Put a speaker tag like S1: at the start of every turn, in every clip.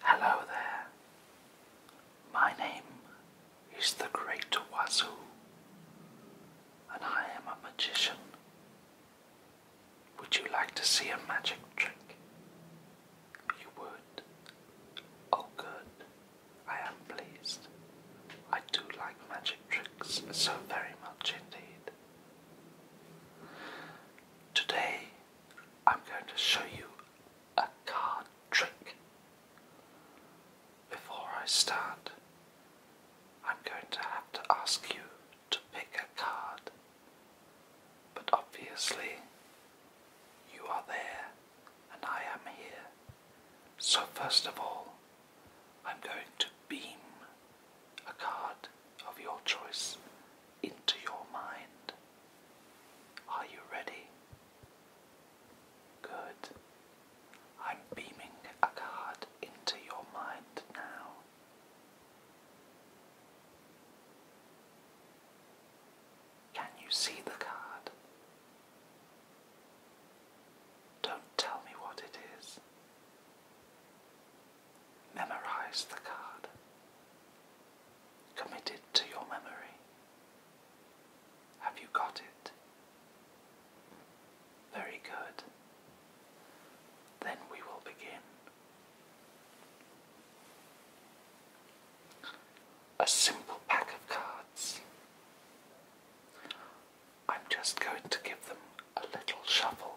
S1: Hello there. My name is the Great Wazoo, and I am a magician. Would you like to see a magic trick? You would. Oh, good. I am pleased. I do like magic tricks so very much indeed. Today I'm going to show you a card trick. Before I start, I'm going to have to ask you to pick a card. But obviously, you are there and I am here. So, first of all, I'm going to beam a card of your choice into your mind. Are you ready? Good. I'm beaming a card into your mind now. Can you see the card? Don't tell me what it is. Memorize the card. Commit it to your memory. Have you got it? Very good. Then we will begin. A simple pack of cards. I'm just going to give them a little shuffle.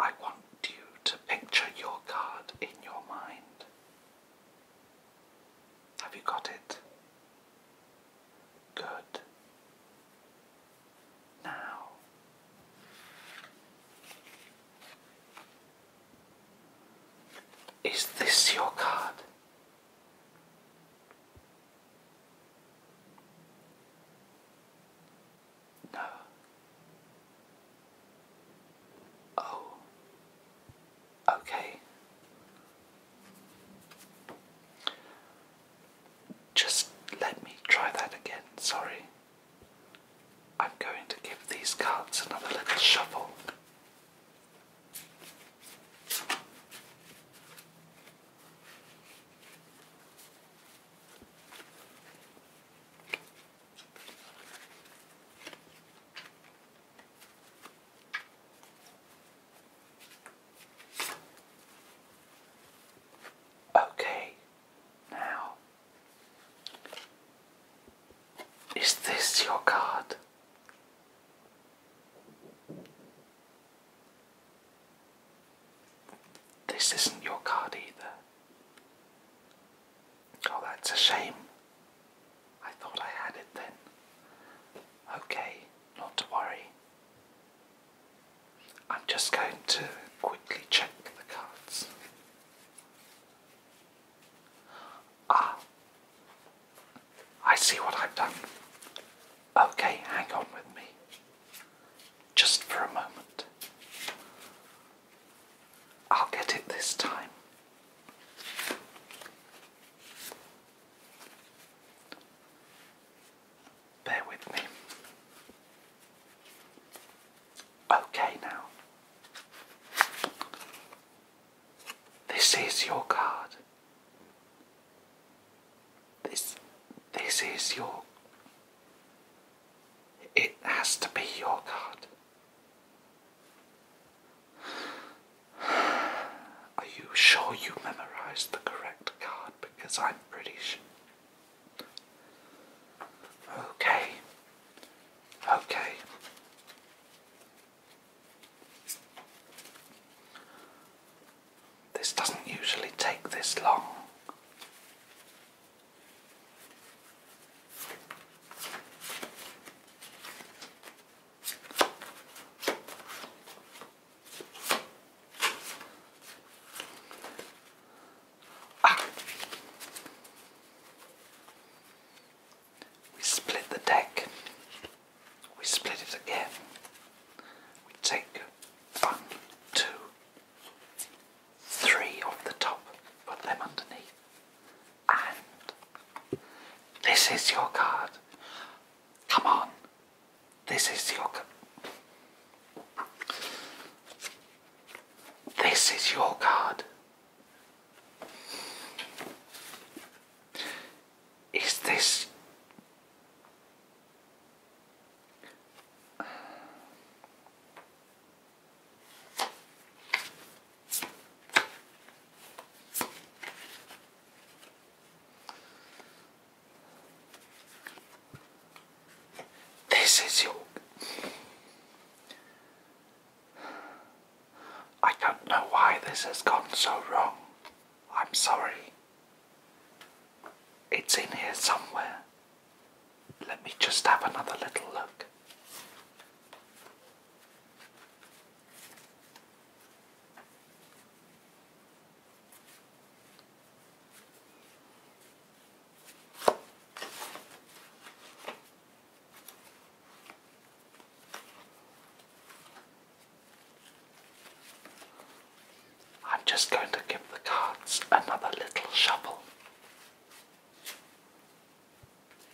S1: I want you to picture your card in your mind. Have you got it? Good. Now, is this your card? No. Oh, Okay. Just let me try that again, sorry. I'm going to give these cards another little shuffle. Okay, now is this your card? This isn't your card either. Oh, that's a shame. I thought I had it then. Okay, not to worry. I'm just going to quickly check the cards. Ah, I see what I've done. Okay, hang on with me. Just for a moment. I'll get it this time. Bear with me. Okay, now. This is your card. This this is your it has to be your card. Are you sure you memorized the correct card? Because I'm pretty sure. Okay. Okay. This doesn't usually take this long. We split the deck. We split it again. We take one, two, three of the top, put them underneath this is your card. Come on. This is your card. This is your card. Is this this is your. I don't know why this has gone so wrong. I'm sorry. It's in here somewhere. Let me just have another little look. I'm just going to give the cards another little shuffle.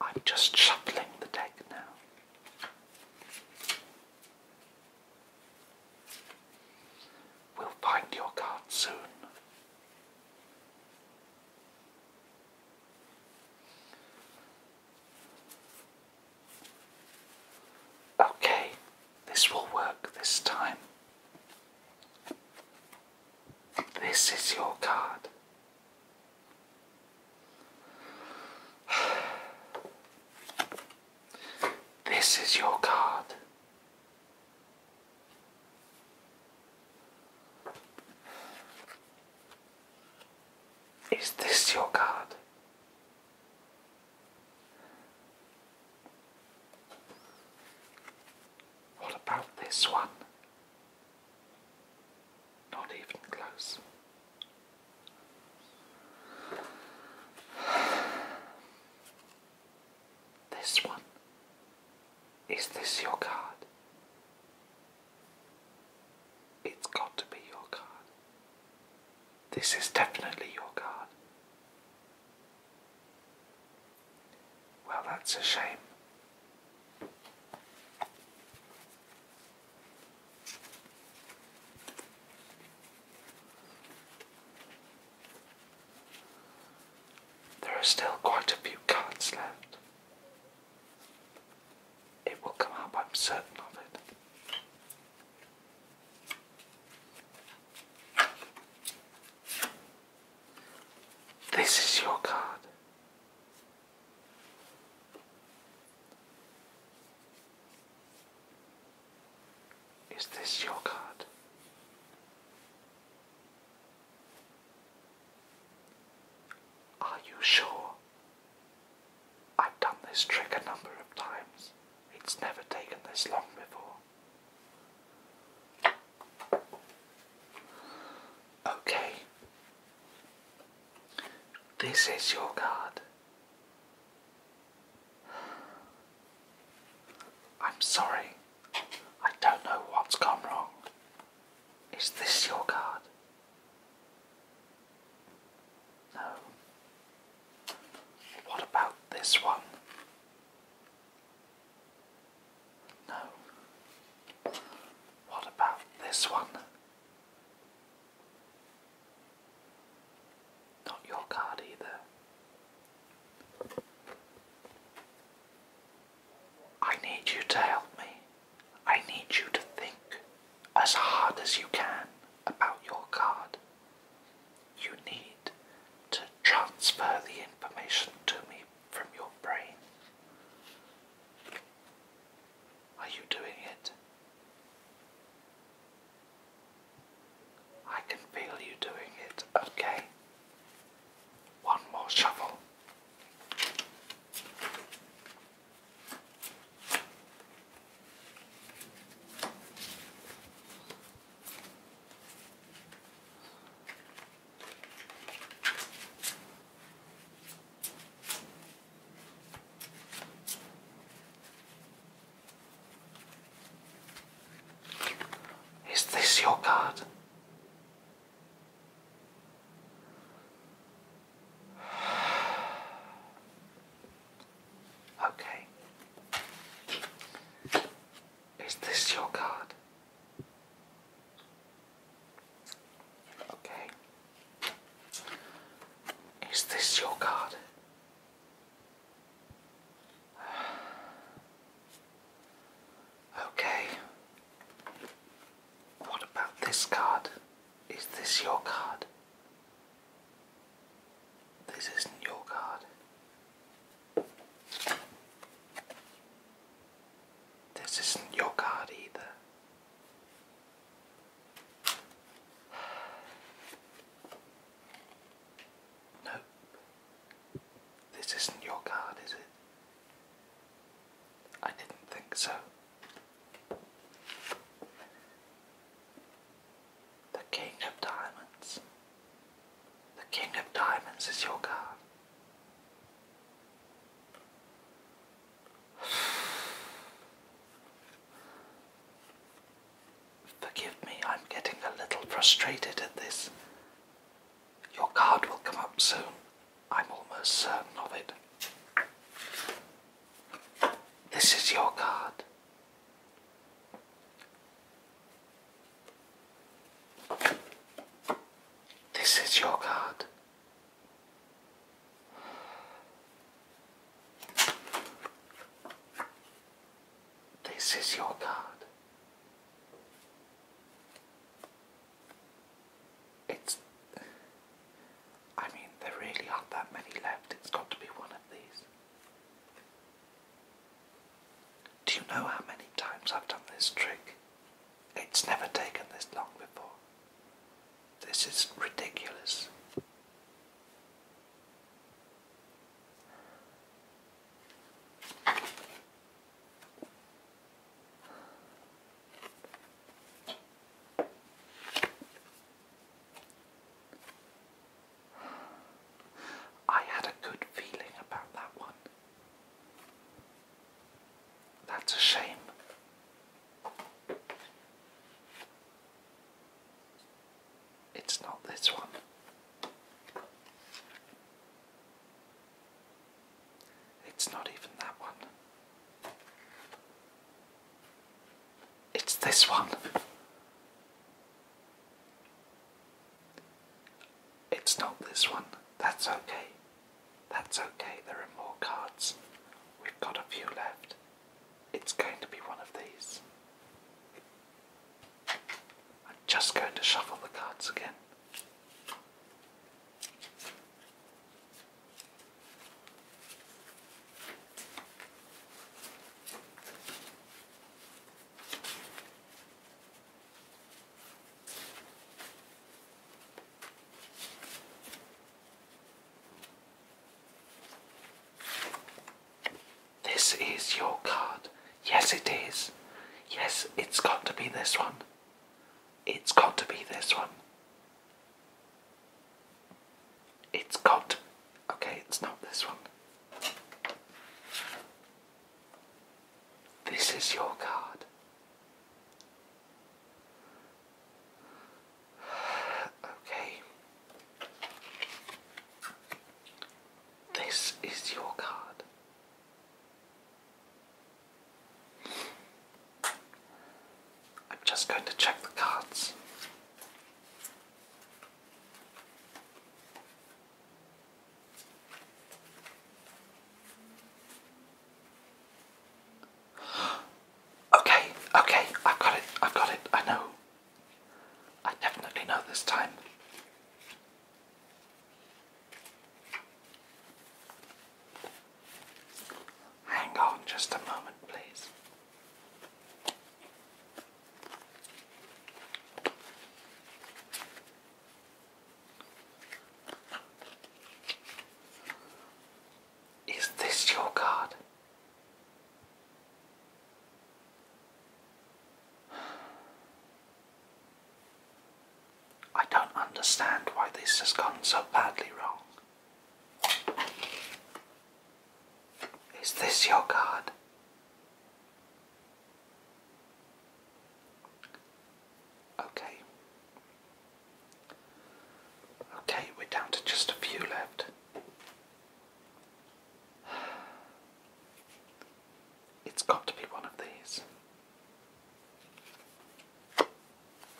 S1: I'm just shuffling the deck now. We'll find your card soon. Okay, this will work this time. This is your card. This is your card. Is this your card? What about this one? Not even close. This one. Is this your card? It's got to be your card. This is definitely your card. Well, that's a shame. There are still quite a few cards left. It will come up, I'm certain of it. This is your card. Is this your card? Are you sure? I've done this trick a number of times. It's never taken this long before. Okay, this is your card. I'm sorry. I don't know what's gone wrong. Is this your card? No. What about this one? No. What about this one? Not your card either. I need you to help me. I need you to think as hard as you can about your card. You need to transfer the information to me from your brain. Are you doing it? I can feel you doing it, okay? One more shovel. Is this your card? Okay. Is this your card? Okay. Is this your card? Okay. What about this card? Is this your card? This isn't your card. This isn't your card either. Nope. This isn't your card, is it? I didn't think so. The King of Diamonds. The King of Diamonds is your card. Forgive me, I'm getting a little frustrated at this. Your card will come up soon. I'm almost certain of it. This is your card. This is your card. This is your card. It's. I mean, there really aren't that many left. It's got to be one of these. Do you know how many times I've done this trick? It's never taken this long before. This is ridiculous. I had a good feeling about that one. That's a shame. It's not this one. It's not even that one. It's this one. It's not this one. That's okay. That's okay. There are more cards. We've got a few left. It's going to be one of these. I'm just going to shuffle the cards again. This is your card. Yes, it is. Yes, it's got to be this one. It's got to be this one. It's got. Okay, it's not this one. This is your card. Okay. This is your card. I'm just going to check the cards. Okay, okay, I've got it, I've got it, I know. I definitely know this time. Hang on just a moment, please. Is this your card? I don't understand why this has gone so badly wrong. Is this your card? Okay. Okay, we're down to just a few left. It's got to be one of these.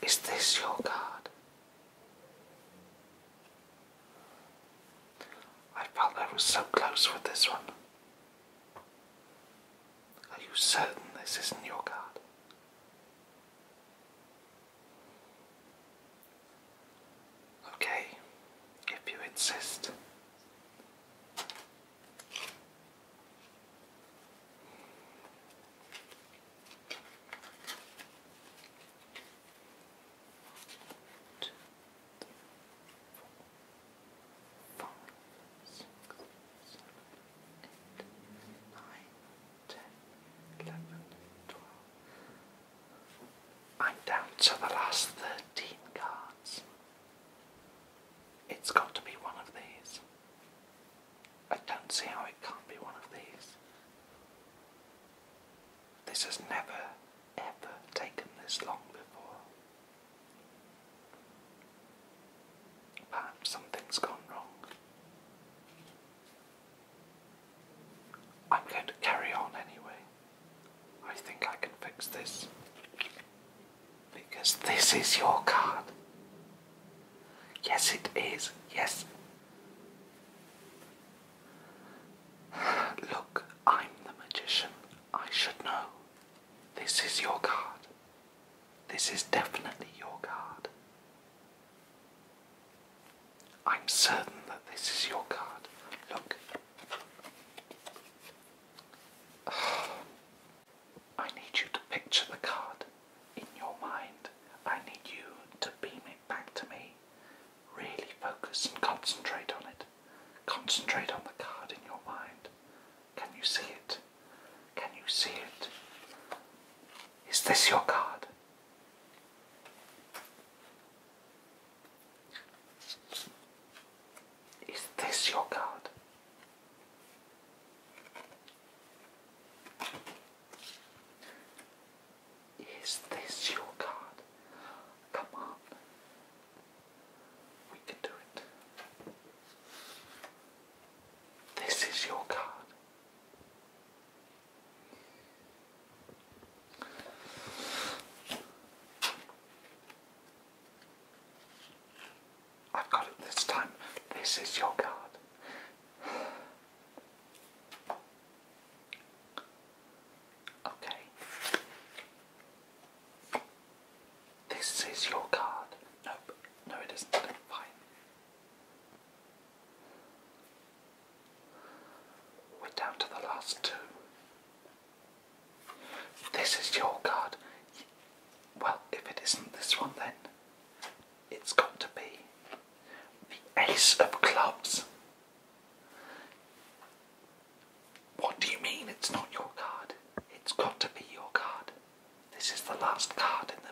S1: Is this your card? I felt I was so close with this one. Are you certain this isn't your card? Okay, if you insist. Two, three, four, five, six, seven, eight, nine, ten, eleven, twelve. I'm down to the last thirteen cards. It's got to be one of these. I don't see how it can't be one of these. This has never, ever taken this long before. Perhaps something's gone wrong. I'm going to carry on anyway. I think I can fix this. Because this is your card. Yes, it is. Yes. Look, I'm the magician. I should know. This is your card. This is definitely your card. I'm certain that this is your card. Look. I need you to picture the card in your mind. I need you to be me back to me. Really focus and concentrate on it. Concentrate on the card in your mind. Can you see it? Can you see it? Is this your card? Is this your card? Is this your card? Come on. We can do it. This is your card. I've got it this time. This is your card. Okay. This is your card. Nope. No, it isn't. Fine. We're down to the last two. This is your card. Well, if it isn't this one, then it's got to be the Ace of Clubs. What do you mean it's not your card? It's got to be your card. This is the last card in the.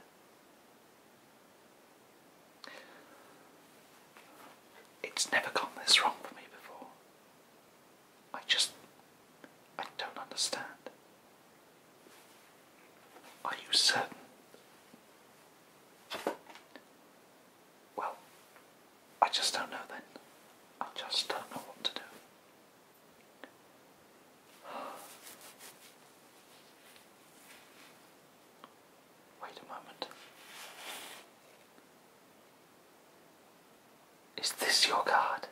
S1: It's never gone this wrong for me before. I just. I don't understand. Are you certain? well, I just don't know then. I just don't know what to do. Wait a moment. Is this your card?